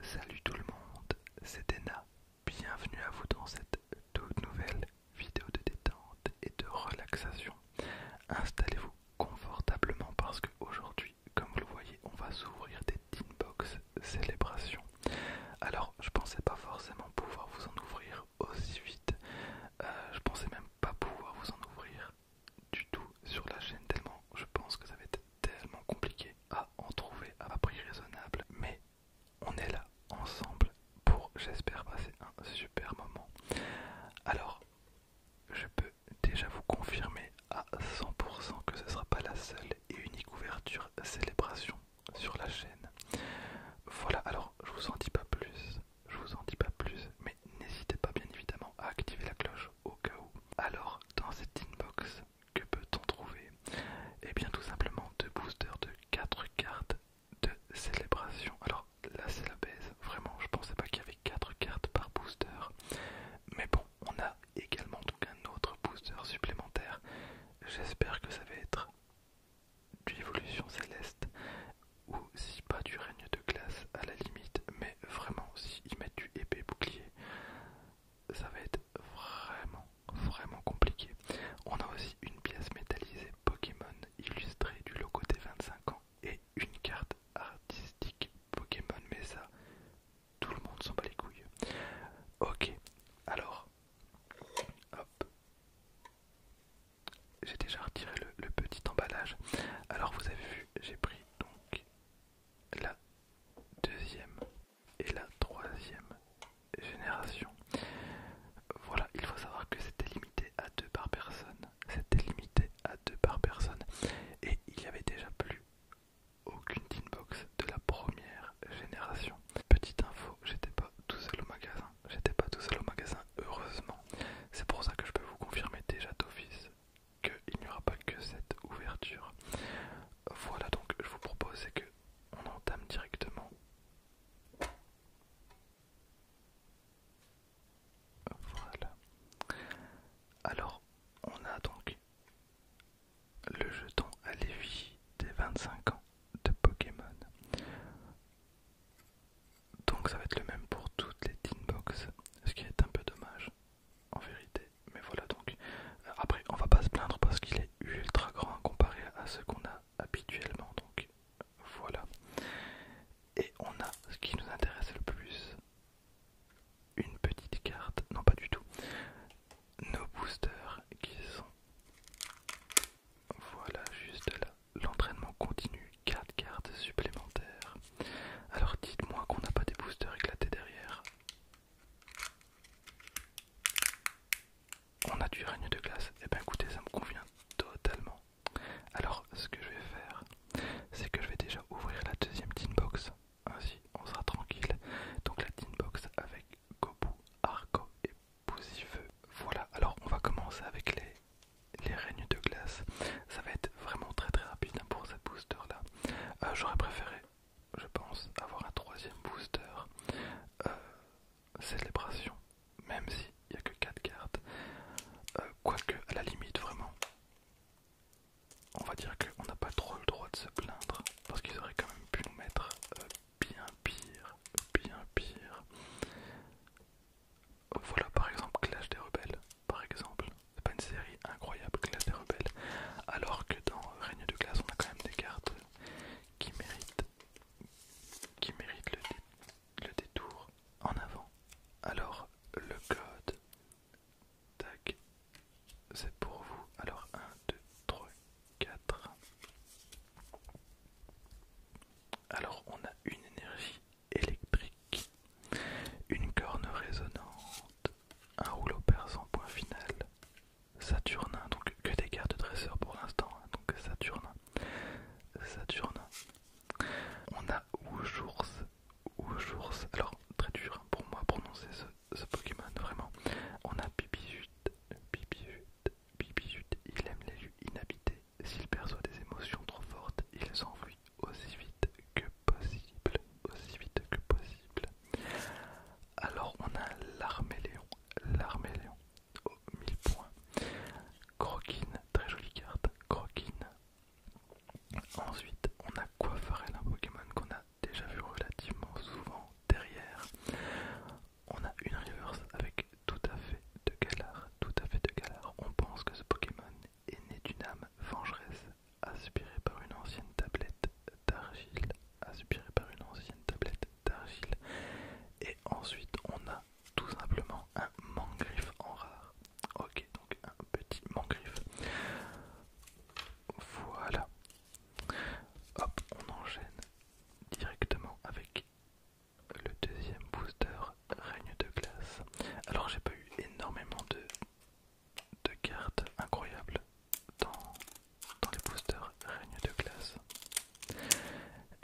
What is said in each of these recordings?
Salut tout le monde, c'est Dena. Bienvenue à vous dans cette toute nouvelle vidéo de détente et de relaxation. Installez-vous confortablement parce que aujourd'hui, comme vous le voyez, on va s'ouvrir des Tinbox célébrations. Alors, je ne pensais pas forcément pouvoir vous en ouvrir aussi vite. Je euh, je pensais même pas pouvoir vous en ouvrir du tout sur la chaîne tellement je pense que ça va être tellement compliqué à en trouver à un prix raisonnable. Mais on est là ensemble pour, j'espère, passer un super moment. Alors, je peux déjà vous confirmer à 100% que ce sera pas la seule et unique ouverture célébration sur la chaîne. Voilà, alors je vous en dis pas plus, je vous en dis pas plus, mais n'hésitez pas bien évidemment à activer la cloche au cas où. Alors, dans cette inbox, que peut-on trouver Eh bien tout simplement deux boosters de 4 cartes de célébration. Alors là c'est la baisse, vraiment je pensais pas qu'il y avait 4 cartes par booster. Mais bon, on a également donc un autre booster supplémentaire. J'espère que ça va être du évolution céleste ou si pas du règne de glace à la limite mais vraiment s'ils mettent du épée bouclier ça va être vraiment vraiment compliqué. On a aussi une pièce métallisée Pokémon illustrée du logo des 25 ans et une carte artistique Pokémon, mais ça, tout le monde s'en bat les couilles. Ok, alors, hop, j'ai déjà retiré le, le petit emballage. Alors vous avez vu, j'ai pris donc la deuxième et la troisième génération. Voilà, il faut savoir que c'était limité à deux par personne. C'était limité à deux par personne. Et il n'y avait déjà plus aucune tinbox de la première génération. Petite info, j'étais pas tout seul au magasin. J'étais pas tout seul au magasin, heureusement. C'est pour ça que je peux vous confirmer déjà d'office qu'il n'y aura pas que cette ouverture. Voilà donc je vous propose que on entame directement. Voilà. Alors on a donc le jeton à l'évier des 25 ans de Pokémon. Donc ça va être le même pour toutes les tinbox, ce qui est un peu dommage en vérité. Mais voilà donc. Euh, après, on va pas se plaindre parce qu'il est ultra grand comparé à ce qu'on a habituellement. Donc voilà. Et on a ce qui nous intéresse le plus. Une petite carte, non pas du tout. Nos boosters qui sont... Voilà, juste là. L'entraînement continu, 4 cartes supplémentaires. Alors dites-moi qu'on n'a pas des boosters éclatés derrière. On a du règne de glace. Et eh bien écoutez, ça me convient totalement. Alors ce que je vais faire, c'est que je vais déjà ouvrir la deuxième tin box. Ainsi, on sera tranquille. Donc la tin box avec Gobu, Arco et Poussifeu. Voilà, alors on va commencer avec les, les règnes de glace. Ça va être vraiment très très rapide hein, pour cette booster là. Euh, j'aurais préféré je pense, avoir un troisième booster euh, célébration, même s'il n'y a que 4 cartes. Euh, quoique, à la limite, vraiment, on va dire qu'on n'a pas trop le droit de se plaindre, parce qu'ils auraient quand même pu nous mettre euh, bien pire, bien pire. Voilà par exemple Clash des Rebelles, par exemple, c'est pas une série incroyable, Classe des Rebelles. Alors que dans Règne de Glace, on a quand même des cartes qui méritent, qui méritent le, détour en avant. Alors, le code, tac, c'est pour vous. Alors, 1, 2, 3, 4. Alors, on a une énergie électrique, une corne résonante, un rouleau persan point final, Saturnin, donc que des cartes dresseurs pour l'instant, hein, donc Saturnin, Saturnin. On a oujours, oujours, alors très dur hein, pour moi prononcer ce, Pokémon, vraiment. On a Bibijut, Bibijut, Bibijut, il aime les lieux inhabités, s'il perçoit des émotions trop fortes, il s'enfuit aussi vite que possible, aussi vite que possible. Alors on a l'armée L'Armée Léon au 1000 points. Croquine, très jolie carte, croquine. Ensuite on a Coiffarel, un Pokémon qu'on a déjà vu relativement souvent derrière. On a une reverse avec tout à fait de galard, tout à fait de galard. On pense que ce Pokémon est né d'une âme vengeresse aspiré par une ancienne tablette d'argile, aspiré par une ancienne tablette d'argile. Et ensuite, on a tout simplement un mangriffe en rare. Ok, donc un petit mangriffe. Voilà. Hop, on enchaîne directement avec le deuxième booster règne de glace. Alors j'ai pas eu énormément de de cartes incroyables dans, dans les boosters règne de classe.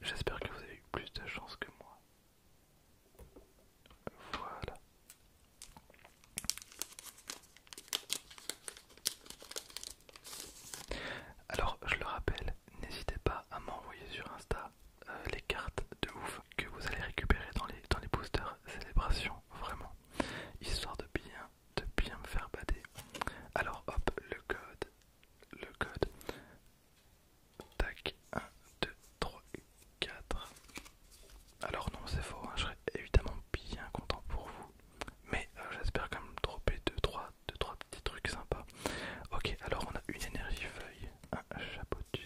J'espère que vous avez eu plus de chance que moi. Voilà. Alors, je le rappelle, n'hésitez pas à m'envoyer sur Insta euh, les cartes de ouf que vous allez récupérer dans les, dans les boosters célébration vraiment, histoire de bien de bien me faire bader. Alors hop, le code, le code. Tac, 1, 2, 3, 4. Alors non, c'est faux, hein, je serais évidemment bien content pour vous. Mais euh, j'espère quand même dropper 2 3, 2, 3 petits trucs sympas. Ok, alors on a une énergie feuille, un chapeau de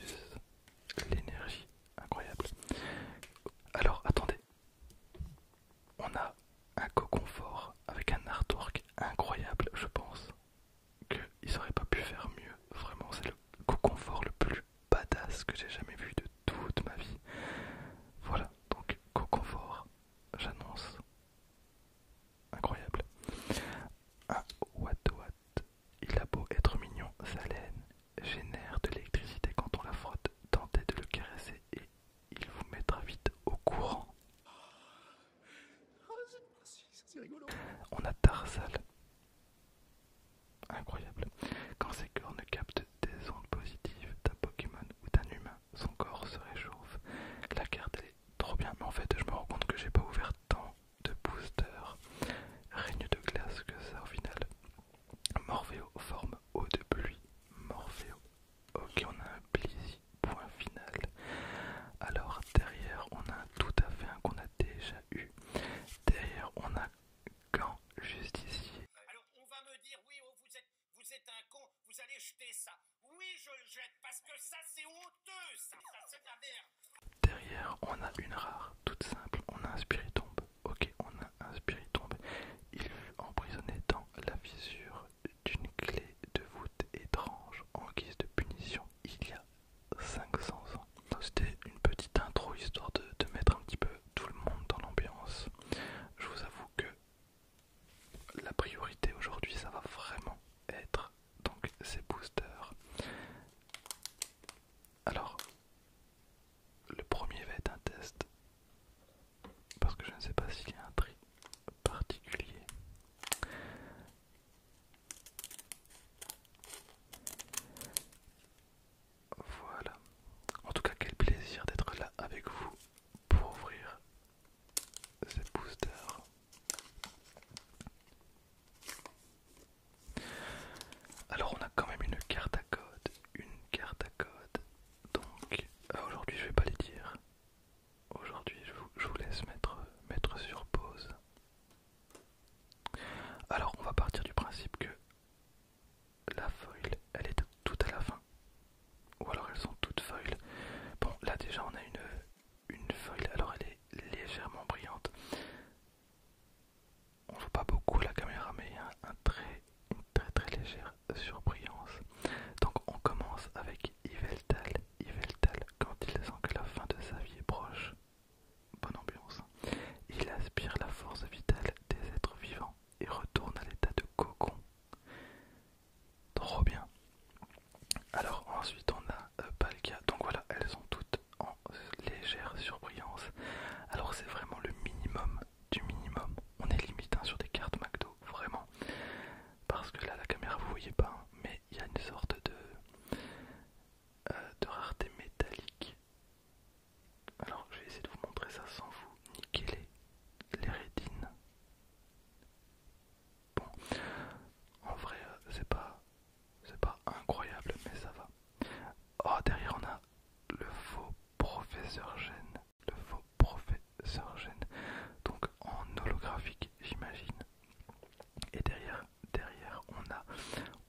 l'énergie incroyable. Alors attendez, on a un coconfort avec un artwork incroyable, je pense qu'ils auraient pas pu faire mieux. Vraiment, c'est le coconfort le plus badass que j'ai jamais vu de toute ma vie. Voilà, donc coconfort, j'annonce. Incroyable. Ah, what what. Il a beau être mignon, ça laine génère de l'électricité quand on la frotte. Tentez de le caresser et il vous mettra vite au courant. On a Tarsal. Incroyable. Quand ses cornes captent des ondes positives d'un Pokémon ou d'un humain, son corps se réchauffe. La carte elle est trop bien, mais en fait je me rends compte que j'ai pas ouvert tant de boosters. Règne de glace que ça au final. Morpheo forme eau de pluie. Morpheo. Ok, on a un plaisir. Point final. Alors derrière, on a tout à fait un qu'on a déjà eu. Derrière, on a quand juste ici. Alors on va me dire oui, oh, vous êtes, un con, vous allez jeter ça. Oui, je le jette parce que ça c'est honteux, ça, c'est la merde. Derrière, on a une rare, toute simple. On a un spiritomb Ok, on a un tombé. Il fut emprisonné dans la fissure d'une clé de voûte étrange en guise de punition il y a 500 ans. c'était une petite intro histoire de, de mettre un petit peu tout le monde dans l'ambiance. Je vous avoue que la priorité aujourd'hui ça va vraiment être donc ces boosters. Alors le premier va être un test parce que je ne sais pas s'il y a un tri particulier. Voilà. En tout cas, quel plaisir d'être là avec vous pour ouvrir cette booster. Alors on a quand même une carte à code, une carte à code, donc euh, aujourd'hui je vais pas les dire aujourd'hui je vous, laisse mettre, sur pause alors on va partir du principe que la feuille elle est toute à la fin ou alors elles sont toutes feuilles bon là déjà on a une une feuille alors elle est légèrement brillante on voit pas beaucoup la caméra, mais il y a un, très, une très très légère surbrillance. Donc on commence avec Yveltal. Yveltal, quand il sent que la fin de sa vie est proche, bonne ambiance, il aspire la force vitale des êtres vivants et retourne à l'état de cocon. Trop bien. Alors ensuite on a euh, Palkia. Donc voilà, elles sont toutes en légère surbrillance. Alors c'est vraiment le minimum du minimum. On est limite hein, sur des cartes McDo, vraiment. Parce que là, la caméra, vous voyez pas, hein, mais il y a une sorte de, euh, de rareté métallique. Alors, je vais essayer de vous montrer ça sans vous niquer les, Bon, en vrai, euh, c'est pas, c'est pas incroyable, mais ça va. Oh, derrière, on a le faux professeur Gène, le faux professeur Gène, donc en holographique j'imagine. Et derrière, derrière on a,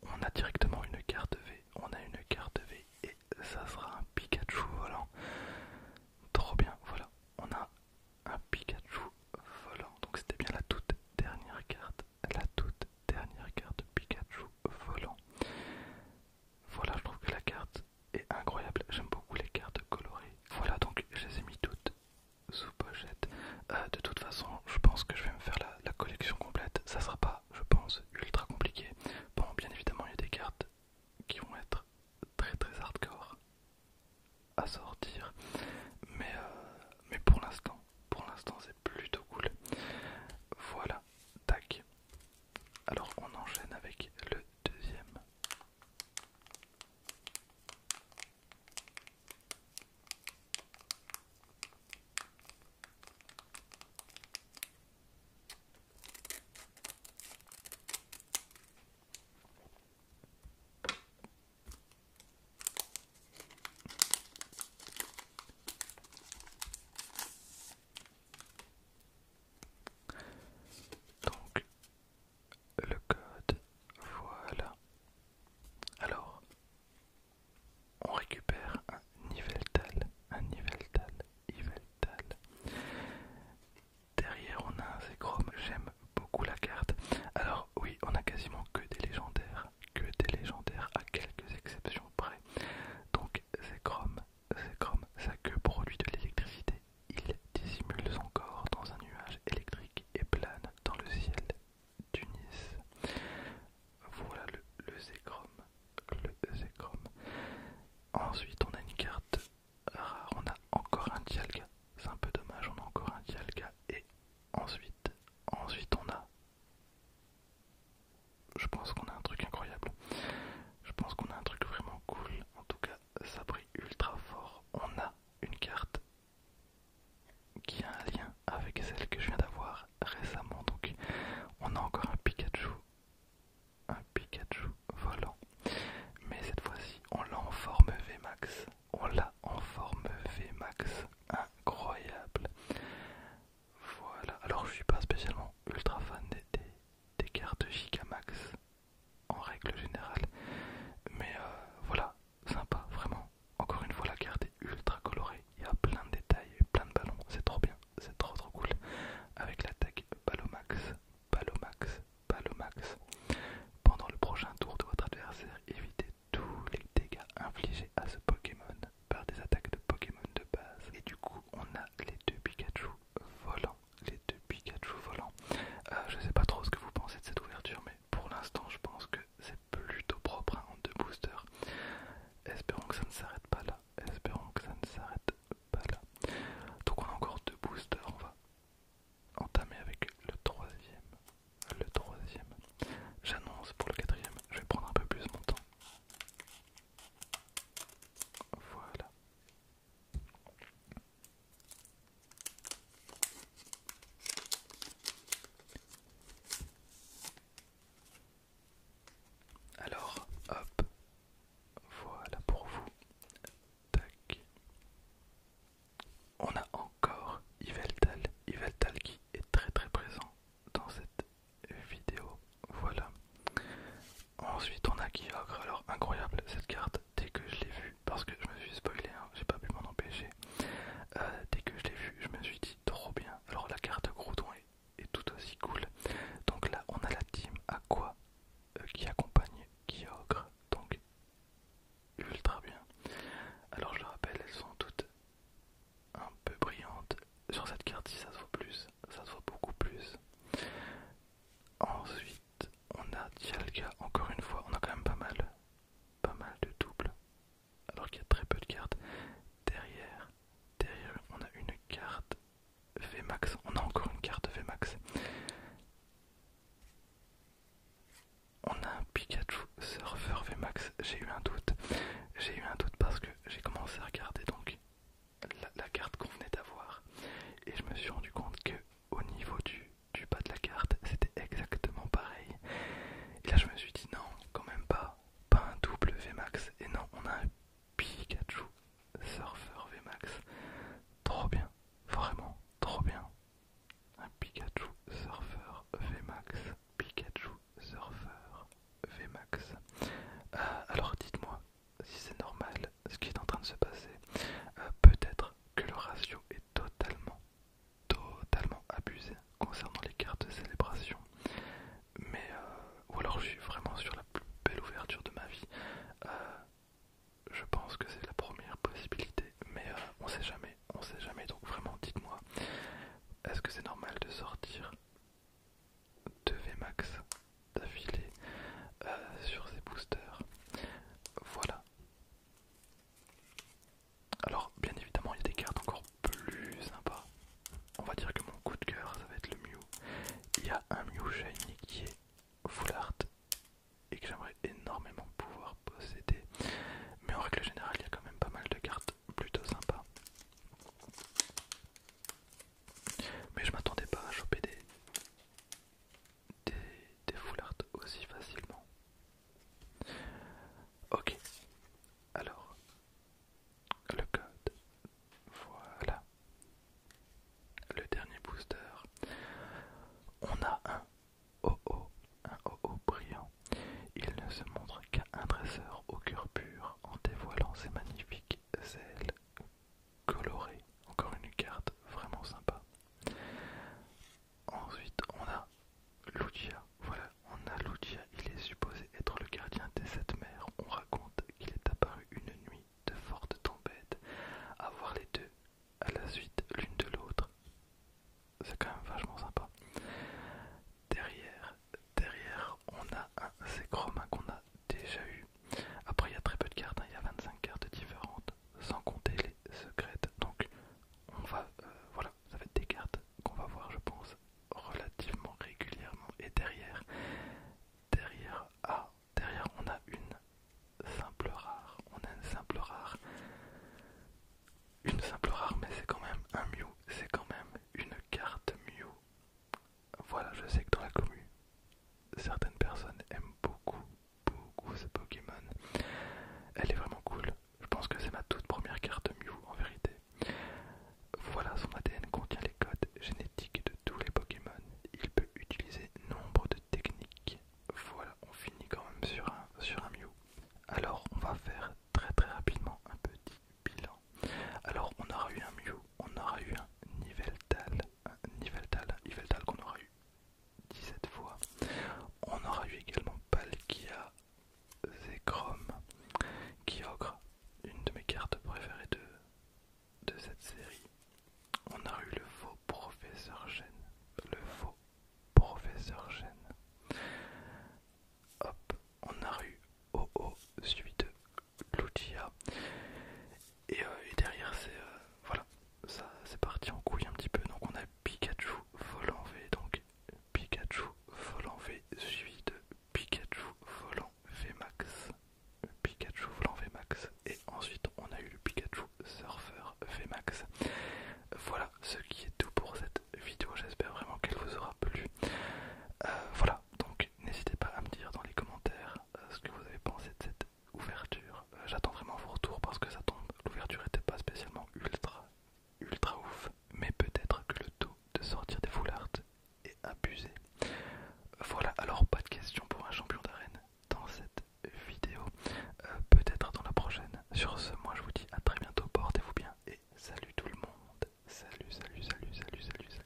on a directement une carte V, on a une carte V et ça sera un Pikachu volant. Trop bien, voilà, on a un Pikachu volant. Donc c'était bien la toute dernière carte, la toute dernière carte Pikachu volant. Voilà, je trouve que la carte est incroyable. J'aime beaucoup les cartes colorées. Voilà, donc je les ai mis toutes sous pochette. Euh, de toute façon, je pense que je vais me faire la, collection complète. Ça sera pas, je pense, ultra compliqué. Bon, bien évidemment, il y a des cartes qui vont être très très hardcore à sortir, mais, euh, mais pour l'instant, pour l'instant, c'est plutôt cool. Voilà, tac. Alors on enchaîne avec le deuxième. Donc le code, voilà. Alors, on récupère un Niveltal, un Niveltal, Niveltal. Derrière, on a un Zekrom, j'aime beaucoup la carte. Alors oui, on a quasiment que des légendaires, que des légendaires à quelques exceptions près. Donc Zekrom, Zekrom, sa queue produit de l'électricité, il dissimule son corps dans un nuage électrique et plane dans le ciel d'Unis. Voilà le, le Le Ensuite, on a une carte rare. On a encore un Dialga. C'est un peu dommage, on a encore un Dialga. Et ensuite, ensuite on a je pense qu'on a un truc incroyable. Je pense qu'on a un truc vraiment cool. En tout cas, ça brille ultra fort. On a une carte qui a un lien avec celle que je viens d'avoir récemment. Donc, on a encore un Pikachu. Un Pikachu volant. Mais cette fois-ci, on l'a en forme VMAX. On l'a en forme VMAX. Incroyable. Voilà, alors je suis pas spécialement ultra fan des, des, cartes Gigamax en règle générale, mais euh, voilà, sympa, vraiment. Encore une fois, la carte est ultra colorée, il y a plein de détails, plein de ballons, c'est trop bien, c'est trop trop cool. Avec la l'attaque Balomax, Balomax, Balomax. Pendant le prochain tour de votre adversaire, évitez tous les dégâts infligés à ce Pokémon par des attaques de Pokémon de base. Et du coup, on a les deux Pikachu volants. Les deux Pikachu volants. Euh, je sais pas trop ce que vous pensez de cette ouverture, mais pour l'instant, je pense que c'est plutôt propre hein, en deux boosters. Espérons que ça ne s'arrête pas là. Espérons que ça ne s'arrête pas là. Donc, on a encore deux boosters. On va entamer avec le troisième. Le troisième. J'annonce pour le quatrième, je vais prendre un peu plus mon temps. Voilà. Alors, hop, voilà pour vous. Tac. On a encore Yveltal, Yveltal qui est très très présent dans cette vidéo. Voilà. Ensuite on a Kyogre, alors incroyable cette carte, dès que je l'ai vue, parce que je me suis spoilé, hein, j'ai pas pu m'en empêcher, euh, dès que je l'ai vu je me suis dit trop bien, alors la carte Groudon est, tout aussi cool, donc là on a la team Aqua quoi euh, qui accompagne Kyogre, donc ultra bien, alors je le rappelle elles sont toutes un peu brillantes, sur cette carte-ci, ça se voit plus, ça se voit beaucoup plus. Ensuite, on a Dialga, encore une fois, on a quand même pas mal, pas mal de doubles, alors qu'il y a très peu de cartes. Derrière, derrière, on a une carte VMAX, on a encore une carte VMAX. On a un Pikachu Surfer VMAX, j'ai eu un doute, j'ai eu un doute parce que j'ai commencé à regarder donc la, carte qu'on venait d'avoir et je me suis rendu compte que au niveau du, du bas de la carte c'était exactement pareil et là je me suis dit non quand même pas pas un double Vmax et non on a un Pikachu Surfer Vmax trop bien vraiment trop bien un Pikachu Surfer Vmax Pikachu Surfer Vmax euh, alors dites-moi si c'est normal ce qui est en train de se passer, euh, peut-être que le ratio est totalement, totalement abusé concernant les cartes de célébration. Mais, euh, ou alors je suis vraiment sur la plus belle ouverture de ma vie. Euh, je pense que c'est la première possibilité, mais on sait jamais, on sait jamais. Donc vraiment, dites-moi, est-ce que c'est normal de sortir 2 VMAX d'affilée euh, sur ces boosters. Voilà. Alors, bien évidemment, il y a des cartes encore plus sympas. On va dire que mon coup de cœur, ça va être le Mew. Il y a un Mew Shiny qui est full art et que j'aimerais énormément pouvoir posséder. Mais en règle générale, il y a quand même pas mal de cartes plutôt sympas. Mais je m'attendais pas à choper des, des, foulards aussi facilement. Ok, alors le code, voilà. Le dernier booster, on a un oh oh un oh brillant. Il ne se montre qu'un un dresseur au cœur pur en dévoilant ses magnifiques ailes coloré. Encore une carte vraiment sympa. Ensuite, on a Lucia. Voilà, on a Lucia. Il est supposé être le gardien des sept mers. On raconte qu'il est apparu une nuit de fortes à voir les deux à la suite l'une de l'autre. C'est quand même vachement sympa. Derrière, derrière on a un Zekrom hein, qu'on a déjà eu. Après, il y a très peu de cartes, hein. il y a 25 cartes différentes, sans compter les secrètes. Donc, on va, euh, voilà, ça va des cartes qu'on va voir, je pense, relativement régulièrement. Et derrière, derrière, ah, derrière, on a une simple rare. On a une simple rare. Une simple rare, mais c'est quand même un Mew. C'est quand même une carte Mew voilà, je sais que dans la commune, certaines personnes aiment beaucoup, beaucoup ce Pokémon. Elle est vraiment cool. Je pense que c'est ma toute première carte Mew en vérité. Voilà, son ADN contient les codes génétiques de tous les Pokémon. Il peut utiliser nombre de techniques. Voilà, on finit quand même sur un, sur un Mew. Alors, on va faire très très rapidement un petit alors on aura eu un Mew, on aura eu un Niveltal, un Niveltal, Niveltal qu'on aura eu 17 fois. On aura eu également Palkia Zekrom, Kyogre, une de mes cartes préférées de, cette série. On a eu le faux professeur Gêne, le faux professeur Gêne. Hop, on a eu OO suite l'outil euh, Et, derrière, c'est euh, voilà, ça c'est parti en couille un petit peu. Donc on a Pikachu volant V, donc Pikachu volant V suivi de Pikachu volant Max Pikachu volant Max Et ensuite on a eu le Pikachu surfeur Max Voilà ce qui est tout pour cette vidéo. J'espère vraiment qu'elle vous aura plu. Euh, voilà, donc n'hésitez pas à me dire dans les commentaires ce que vous avez pensé de cette ouverture. Euh, j'attends vraiment vos retours parce que ça tombe. L'ouverture était pas spécialement ultra, ultra ouf, mais peut-être que le taux de sortir des foulards est abusé. Voilà, alors pas de questions pour un champion d'arène dans cette vidéo. Euh, peut-être dans la prochaine. Sur ce, moi je vous dis à très bientôt, portez-vous bien et salut tout le monde. Salut, salut, salut, salut, salut, salut.